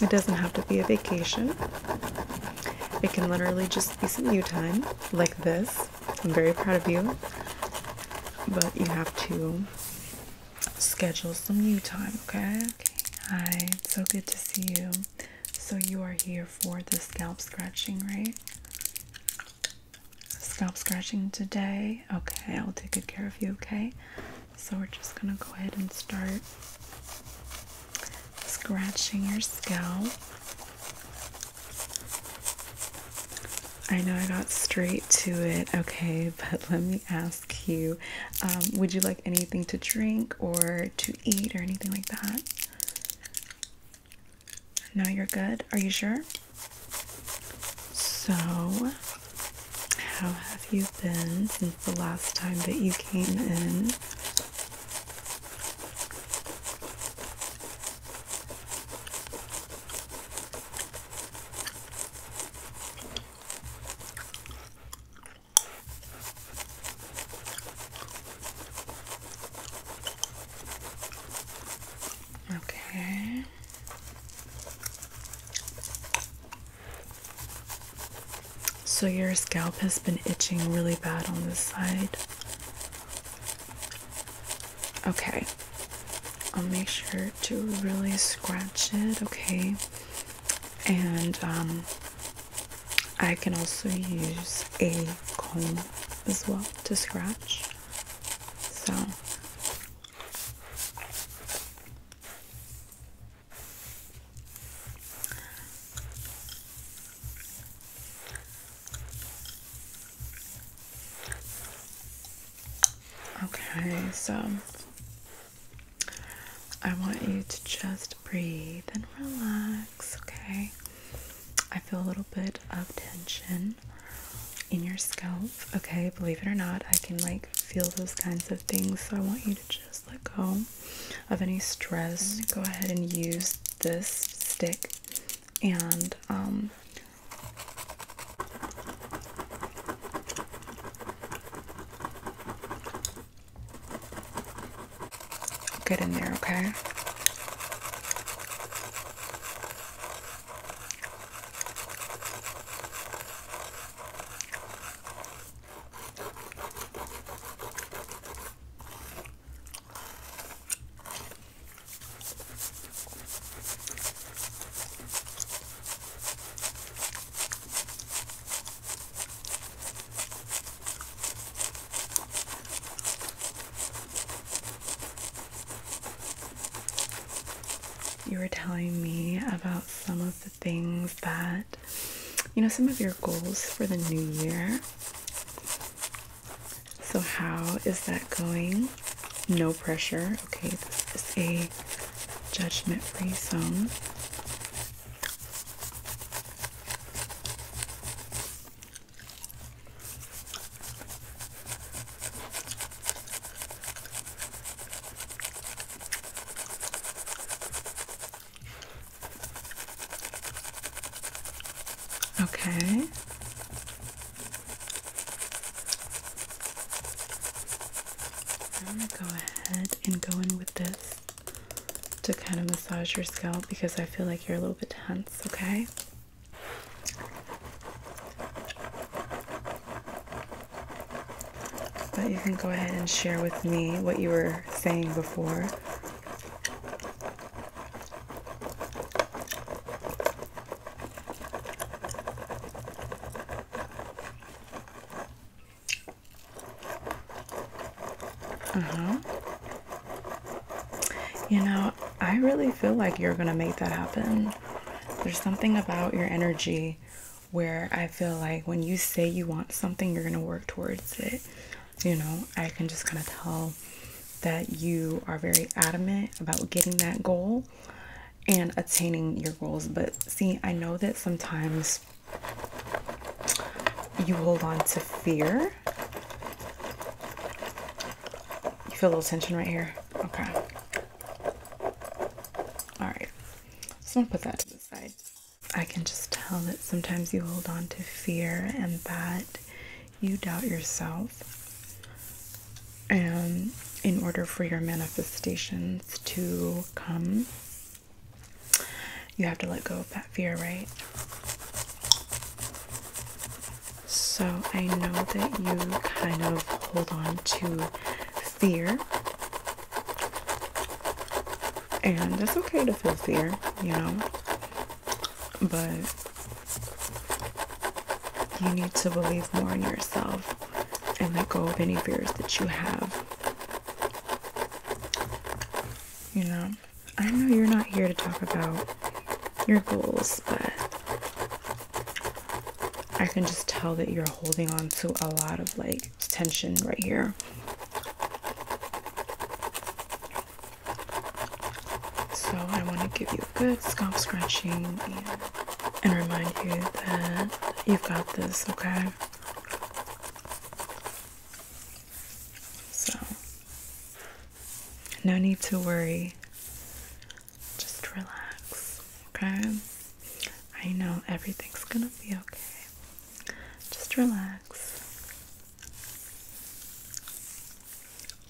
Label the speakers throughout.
Speaker 1: It doesn't have to be a vacation. It can literally just be some new time, like this. I'm very proud of you. But you have to schedule some new time, okay? okay? Hi, so good to see you. So you are here for the scalp scratching, right? Scalp scratching today. Okay, I'll take good care of you, okay? So we're just gonna go ahead and start scratching your scalp. I know I got straight to it, okay, but let me ask you um, would you like anything to drink or to eat or anything like that? No, you're good. Are you sure? So, how have you been since the last time that you came in? Okay. So your scalp has been itching really bad on this side. Okay. I'll make sure to really scratch it, okay? And um, I can also use a comb as well to scratch. So Okay, so I want you to just breathe and relax, okay? I feel a little bit of tension in your scalp, okay? Believe it or not, I can like feel those kinds of things, so I want you to just let go of any stress. Go ahead and use this stick and um, Get in there, okay? You were telling me about some of the things that, you know, some of your goals for the new year. So, how is that going? No pressure. Okay, this is a judgment free zone. Okay. I'm going to go ahead and go in with this to kind of massage your scalp because I feel like you're a little bit tense, okay? But you can go ahead and share with me what you were saying before uh-huh. You know, I really feel like you're going to make that happen. There's something about your energy where I feel like when you say you want something, you're going to work towards it. You know, I can just kind of tell that you are very adamant about getting that goal and attaining your goals. But see, I know that sometimes you hold on to fear. You feel a little tension right here? Okay. All right. Just want to put that to the side. I can just tell that sometimes you hold on to fear and that you doubt yourself. And in order for your manifestations to come, you have to let go of that fear, right? So I know that you kind of hold on to fear. And it's okay to feel fear, you know. But you need to believe more in yourself and let go of any fears that you have. You know, I know you're not here to talk about your goals, but I can just tell that you're holding on to a lot of like tension right here. So I want to give you a good scalp scrunching and remind you that you've got this, okay? So, no need to worry. Just relax, okay? I know everything's gonna be okay. Just relax.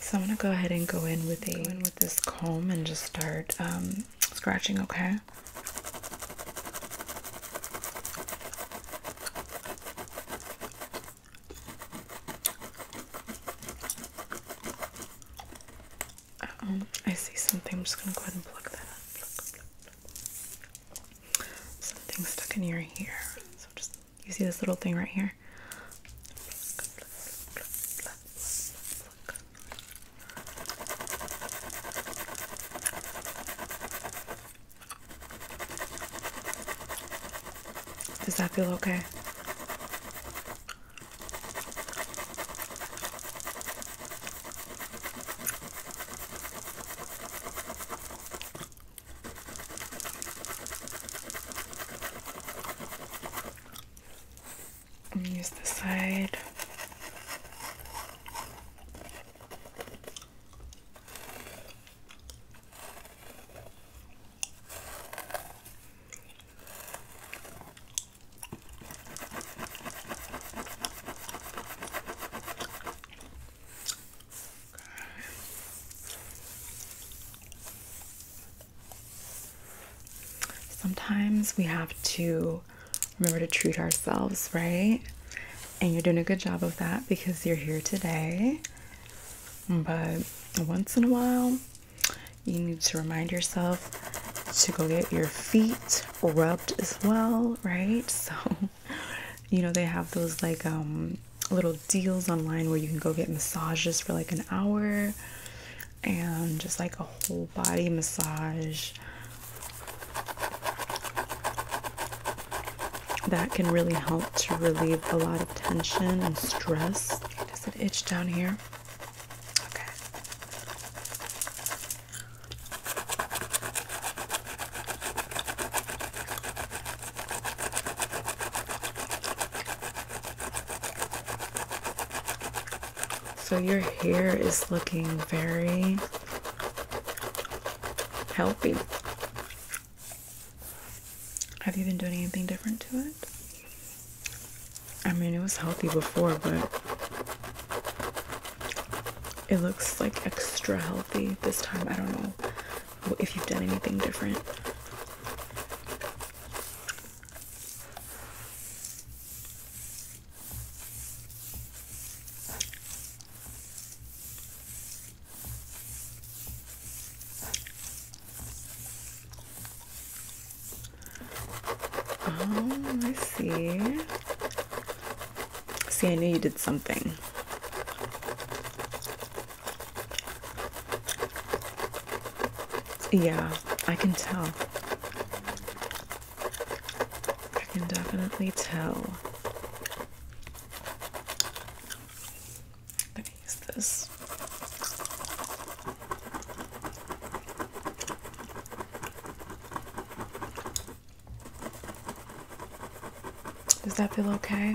Speaker 1: So I'm gonna go ahead and go in with a with this comb and just start um, scratching. Okay. Uh oh, I see something. I'm just gonna go ahead and plug that up. Something stuck in your ear. So just you see this little thing right here. Does that feel okay? And use the side. Sometimes we have to remember to treat ourselves, right? And you're doing a good job of that because you're here today. But once in a while, you need to remind yourself to go get your feet rubbed as well, right? So, you know, they have those like um, little deals online where you can go get massages for like an hour and just like a whole body massage that can really help to relieve a lot of tension and stress. does it itch down here? So your hair is looking very healthy. Have you been doing anything different to it? I mean, it was healthy before, but it looks like extra healthy this time. I don't know if you've done anything different. Oh, I see. See, I knew you did something. Yeah, I can tell. I can definitely tell. Let me use this. Does that feel okay?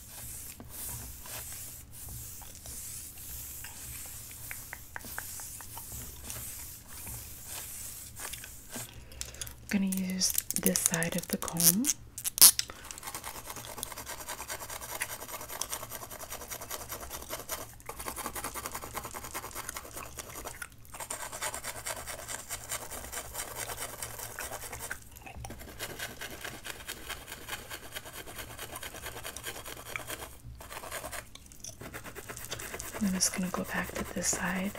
Speaker 1: I'm going to use this side of the comb. I'm just going to go back to this side.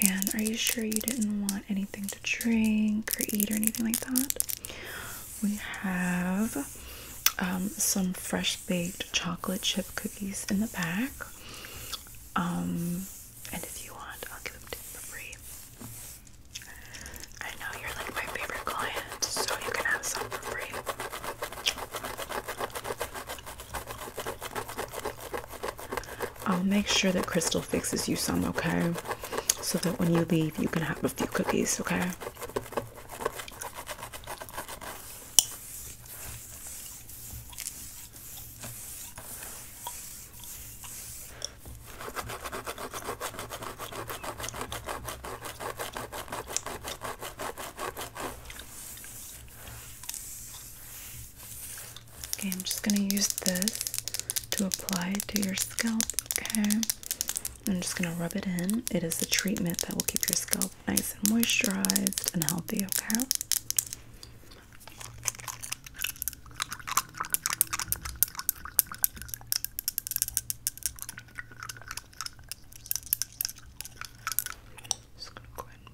Speaker 1: And are you sure you didn't want anything to drink or eat or anything like that? We have um, some fresh baked chocolate chip cookies in the back. Um, and if you want, I'll give them to you for free. I know you're like my favorite client, so you can have some for free. I'll make sure that Crystal fixes you some, okay? So that when you leave, you can have a few cookies, okay? Okay, I'm just going to use this to apply to your scalp, okay? I'm just going to rub it in. It is a treatment that will keep your scalp nice and moisturized and healthy, okay? Just gonna go ahead and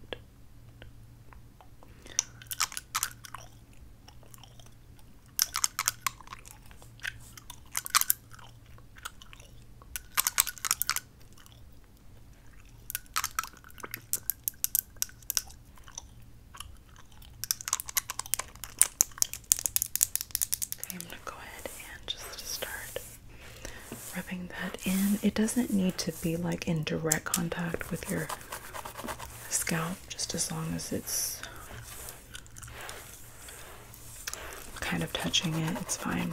Speaker 1: I'm gonna go ahead and just start rubbing that in. It doesn't need to be like in direct contact with your scalp, just as long as it's kind of touching it, it's fine.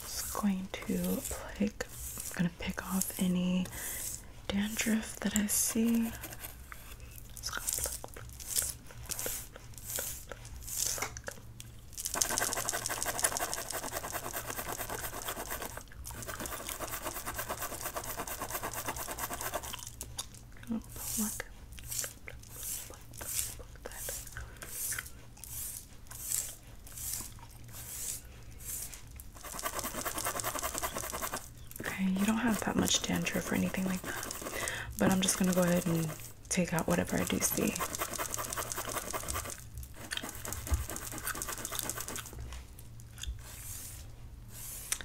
Speaker 1: Just going to pick, I'm gonna pick off any dandruff that I see. Okay, you don't have that much dandruff or anything like that, but I'm just gonna go ahead and take out whatever I do see.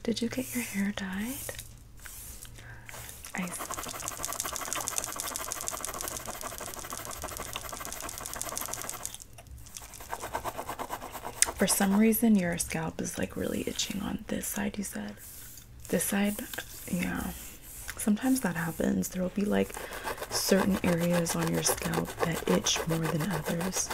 Speaker 1: Did you get your hair dyed? For some reason, your scalp is like really itching on this side, you said. This side, yeah. Sometimes that happens. There will be like certain areas on your scalp that itch more than others.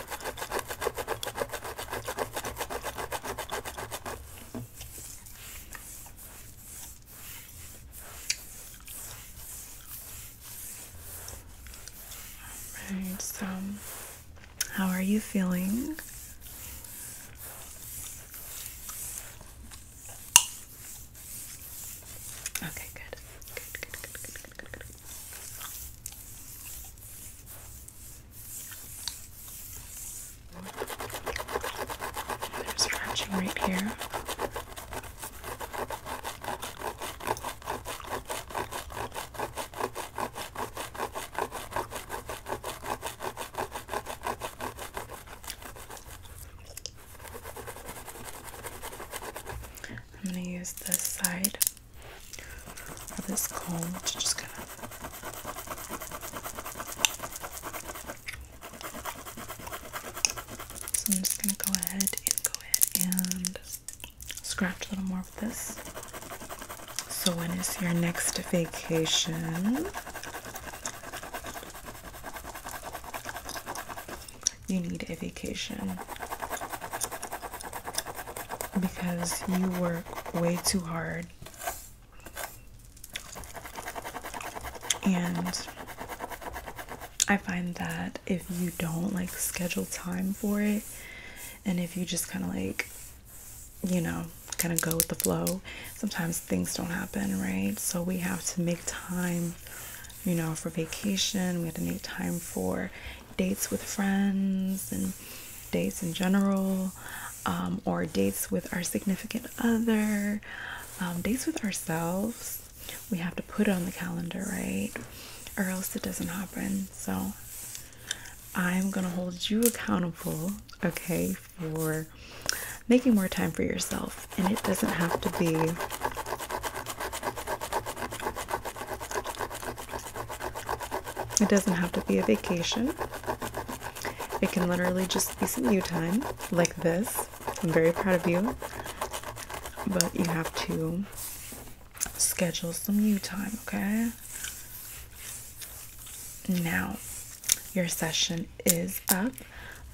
Speaker 1: Alright, so how are you feeling? Okay, good. Good, good, good, good, good, good, good. And there's scratching right here. I'm going to use this side of this comb to just kind of so I'm just going to go ahead and go ahead and scratch a little more with this. So when is your next vacation? You need a vacation because you work way too hard and I find that if you don't like schedule time for it, and if you just kind of like, you know, kind of go with the flow, sometimes things don't happen, right? So we have to make time, you know, for vacation, we have to make time for dates with friends and dates in general, um, or dates with our significant other. Um, dates with ourselves we have to put it on the calendar right or else it doesn't happen so i'm gonna hold you accountable okay for making more time for yourself and it doesn't have to be it doesn't have to be a vacation it can literally just be some new time like this I'm very proud of you. But you have to schedule some you time, okay? Now, your session is up,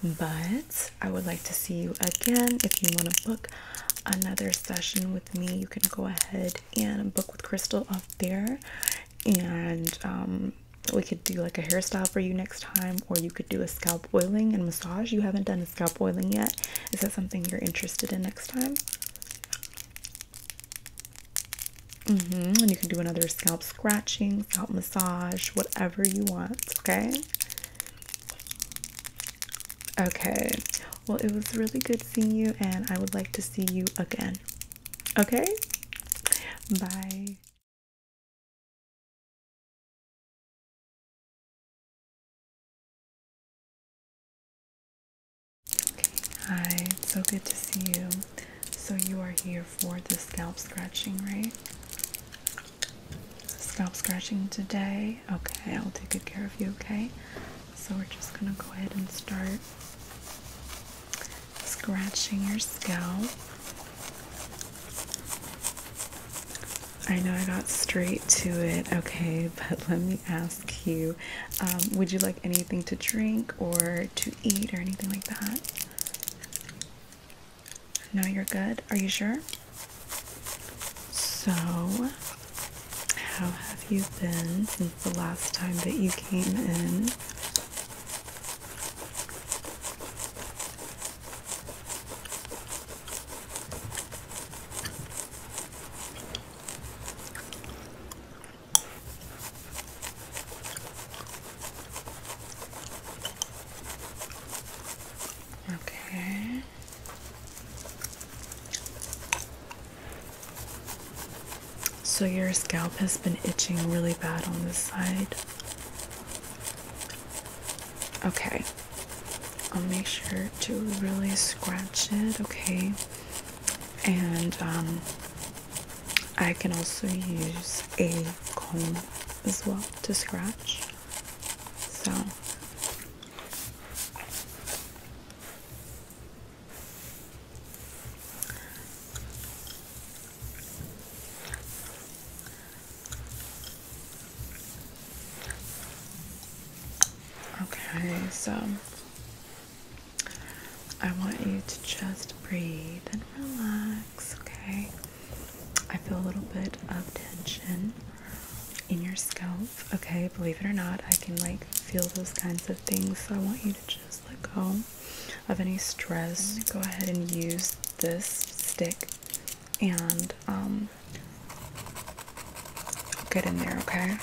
Speaker 1: but I would like to see you again. If you want to book another session with me, you can go ahead and book with Crystal up there. And um, we could do like a hairstyle for you next time, or you could do a scalp oiling and massage. You haven't done a scalp oiling yet. Is that something you're interested in next time? Mm -hmm. And you can do another scalp scratching, scalp massage, whatever you want. Okay. Okay. Well, it was really good seeing you, and I would like to see you again. Okay. Bye hi, so good to see you. So, you are here for the scalp scratching, right? Scalp scratching today. Okay, I'll take good care of you, okay? So, we're just gonna go ahead and start scratching your scalp. I know I got straight to it, okay, but let me ask you um, would you like anything to drink or to eat or anything like that? No, you're good. Are you sure? So, how have you been since the last time that you came in? Okay. So your scalp has been itching really bad on this side. Okay. I'll make sure to really scratch it, okay? And um, I can also use a comb as well to scratch. So Okay, so I want you to just breathe and relax, okay? I feel a little bit of tension in your scalp, okay? Believe it or not, I can like feel those kinds of things, so I want you to just let go of any stress. Go ahead and use this stick and um, get in there, okay?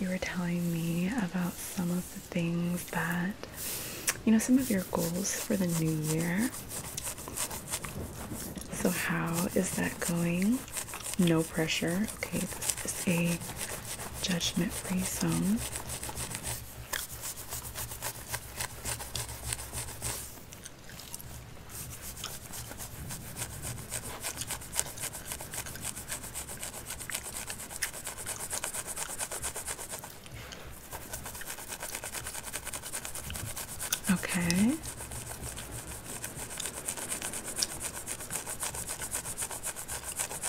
Speaker 1: You were telling me about some of the things that, you know, some of your goals for the new year. So, how is that going? No pressure Okay, this is a judgment free zone. Okay.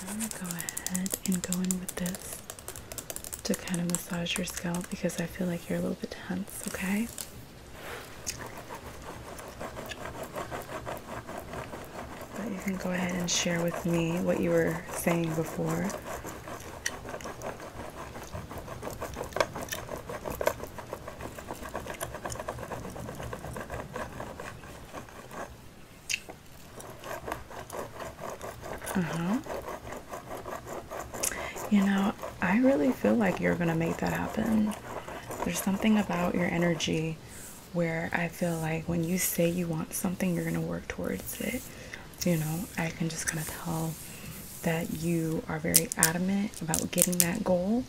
Speaker 1: I'm going to go ahead and go in with this to kind of massage your scalp because I feel like you're a little bit tense, okay? But you can go ahead and share with me what you were saying before. Uh-huh. You know, I really feel like you're going to make that happen. There's something about your energy where I feel like when you say you want something, you're going to work towards it. You know, I can just kind of tell that you are very adamant about getting that goal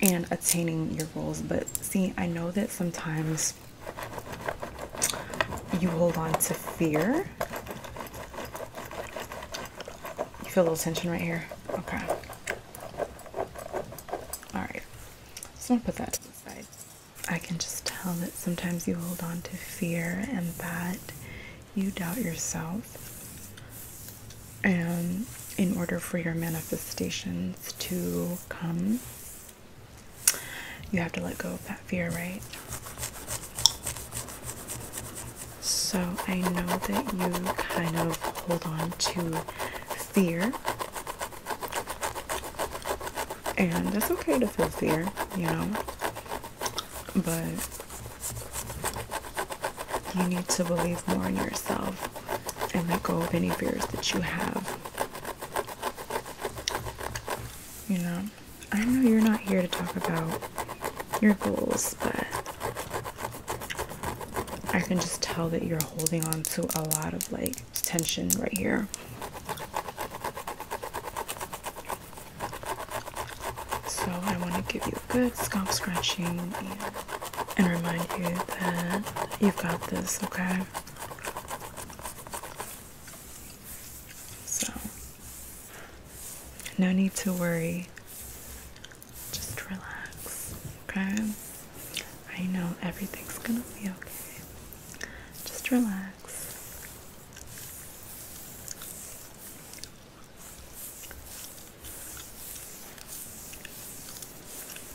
Speaker 1: and attaining your goals. But see, I know that sometimes you hold on to fear. You feel a little tension right here? Okay. Alright. Just want to put that to the side. I can just tell that sometimes you hold on to fear and that you doubt yourself. And um, in order for your manifestations to come, you have to let go of that fear, right? So I know that you kind of hold on to fear. And that's okay to feel fear, you know, but you need to believe more in yourself and let go of any fears that you have. You know, I know you're not here to talk about your goals, but I can just tell that you're holding on to a lot of like tension right here. So I want to give you a good scalp scratching and remind you that you've got this, okay? So, no need to worry. Just relax, okay? I know everything's gonna be okay. Just relax.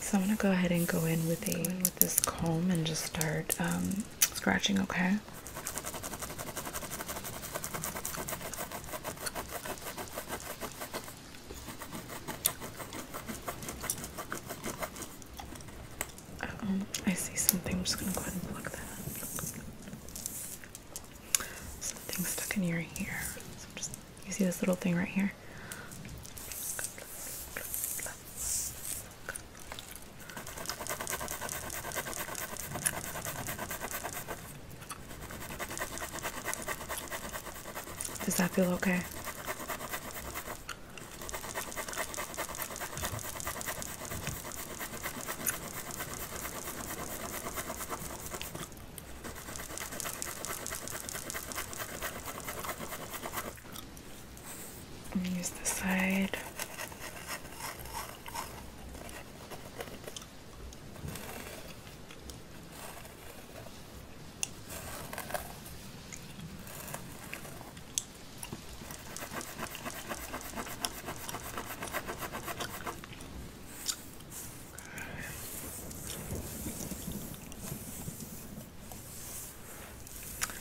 Speaker 1: So I'm gonna go ahead and go in with a with this comb and just start um, scratching. Okay. -oh, I see something. I'm just gonna go pluck that something stuck in your ear. you see this little thing right here. Does that feel okay? Use the side.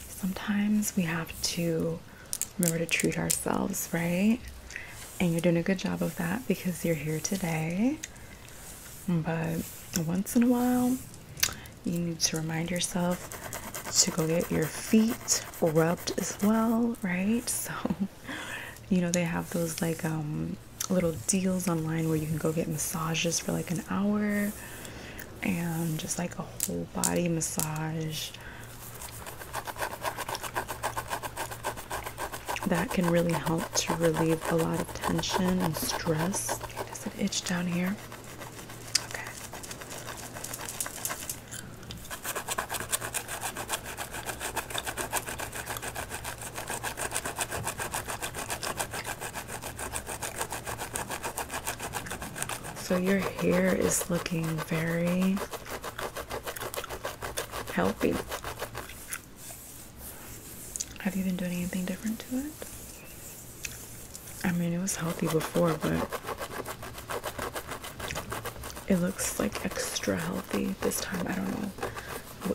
Speaker 1: Sometimes we have to remember to treat ourselves, right? And you're doing a good job of that because you're here today. But once in a while, you need to remind yourself to go get your feet rubbed as well, right? So you know, they have those like um, little deals online where you can go get massages for like an hour and just like a whole body massage that can really help to relieve a lot of tension and stress. Okay, does it itch down here? Okay. So your hair is looking very healthy. Have you been doing anything different to it? I mean, it was healthy before, but it looks like extra healthy this time. I don't know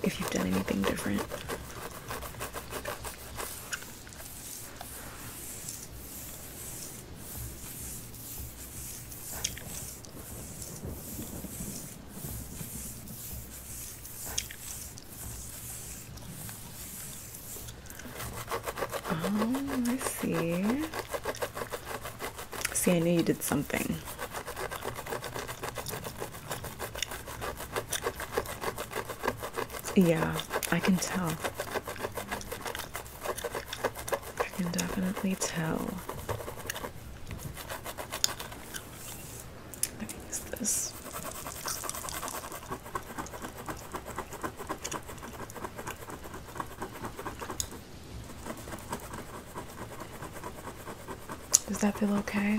Speaker 1: if you've done anything different. Oh, I see. See, I knew you did something. Yeah, I can tell. I can definitely tell. Let me use this. Does that feel okay?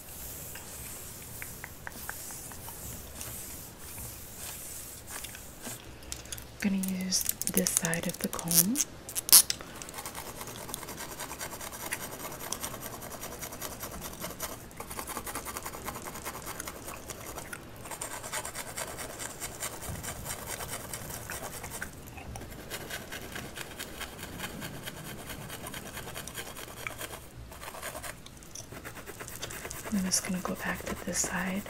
Speaker 1: I'm going to use this side of the comb. I'm just going to go back to this side.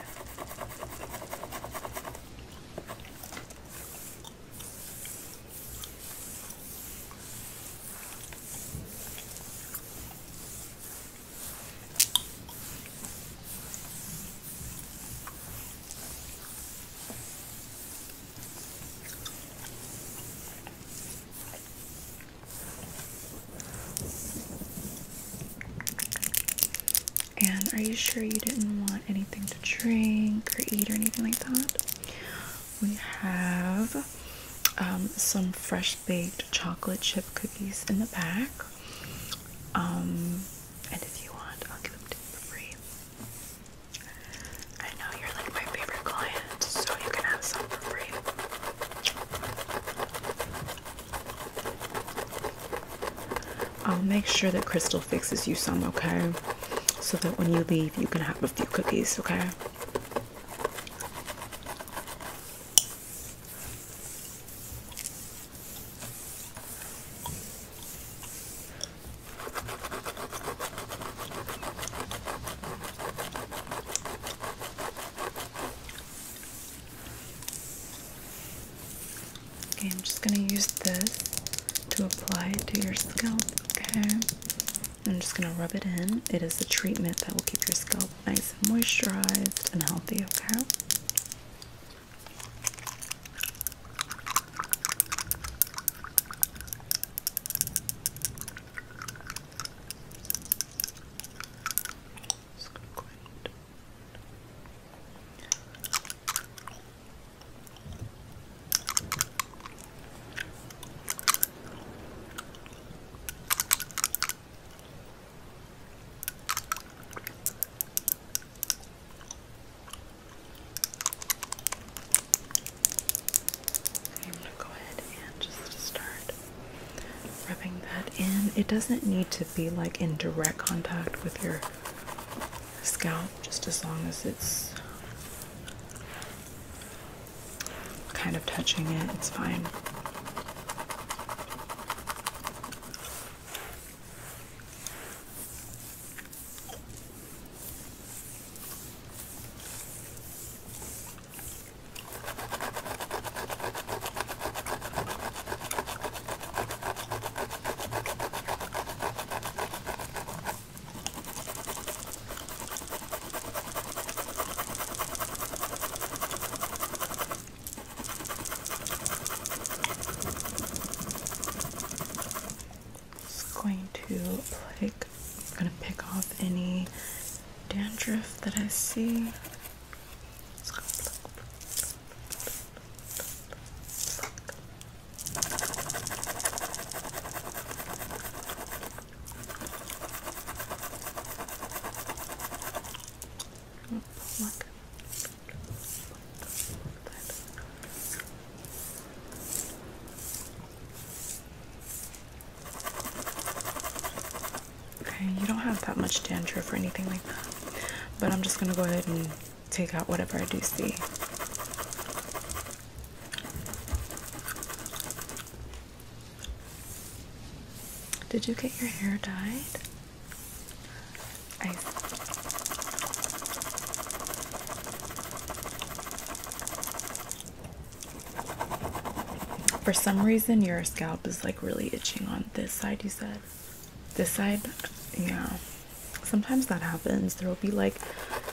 Speaker 1: And are you sure you didn't want anything to drink or eat or anything like that? We have um, some fresh baked chocolate chip cookies in the back. Um, and if you want, I'll give them to you for free. I know you're like my favorite client, so you can have some for free. I'll make sure that Crystal fixes you some, okay? So that when you leave, you can have a few cookies, okay? Okay, I'm just gonna use this to apply it to your scalp. Okay, I'm just gonna rub it in. It is a treatment that will keep your scalp nice and moisturized and healthy. Okay. Just gonna go ahead I'm going to go ahead and just start rubbing that in. It doesn't need to be like in direct contact with your scalp, just as long as it's kind of touching it, it's fine. It's going to play I'm gonna pick off any dandruff that I see. Okay, you don't have that much dandruff or anything like that, but I'm just gonna go ahead and take out whatever I do see. Did you get your hair dyed? For some reason, your scalp is like really itching on this side, you said. This side, yeah. Sometimes that happens. There will be like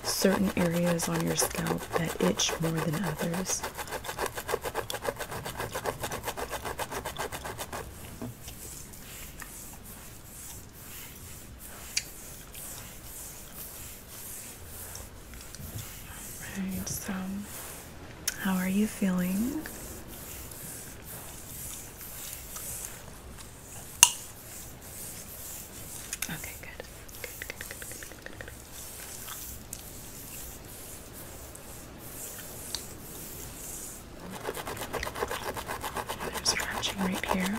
Speaker 1: certain areas on your scalp that itch more than others so how are you feeling? Okay, good. Good, good, good, good, good, good, good. There's scratching right here.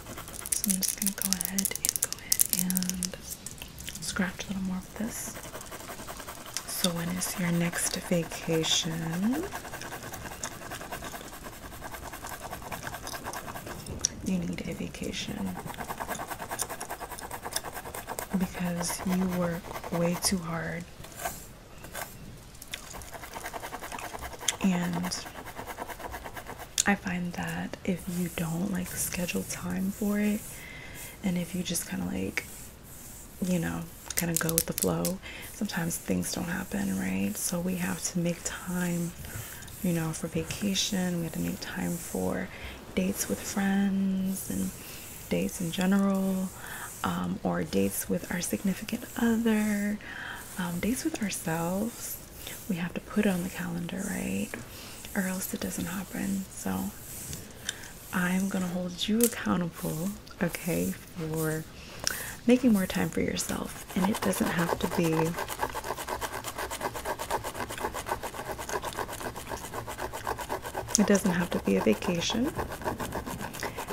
Speaker 1: So I'm just going to go ahead and go ahead and scratch a little more of this. So when is your next vacation? You need a vacation because you work way too hard and I find that if you don't like schedule time for it and if you just kind of like you know kind of go with the flow sometimes things don't happen right so we have to make time you know for vacation we have to make time for dates with friends and dates in general um, or dates with our significant other um, dates with ourselves we have to put it on the calendar, right? Or else it doesn't happen. So I'm gonna hold you accountable, okay, for making more time for yourself. And it doesn't have to be it doesn't have to be a vacation.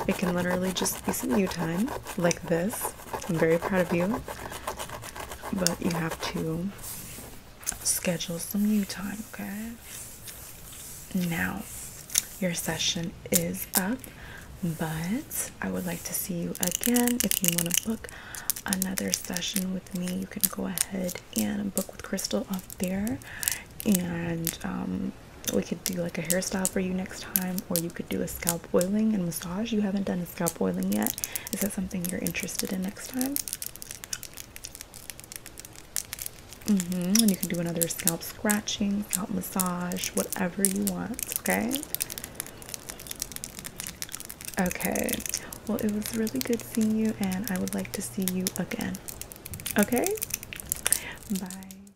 Speaker 1: It can literally just be some you time like this. I'm very proud of you. But you have to schedule some new time, okay? Now, your session is up, but I would like to see you again. If you want to book another session with me, you can go ahead and book with Crystal up there, and um, we could do like a hairstyle for you next time, or you could do a scalp oiling and massage. You haven't done scalp oiling yet. Is that something you're interested in next time? Mm -hmm. And you can do another scalp scratching, scalp massage, whatever you want, okay? Okay. Well, it was really good seeing you, and I would like to see you again. Okay? Bye.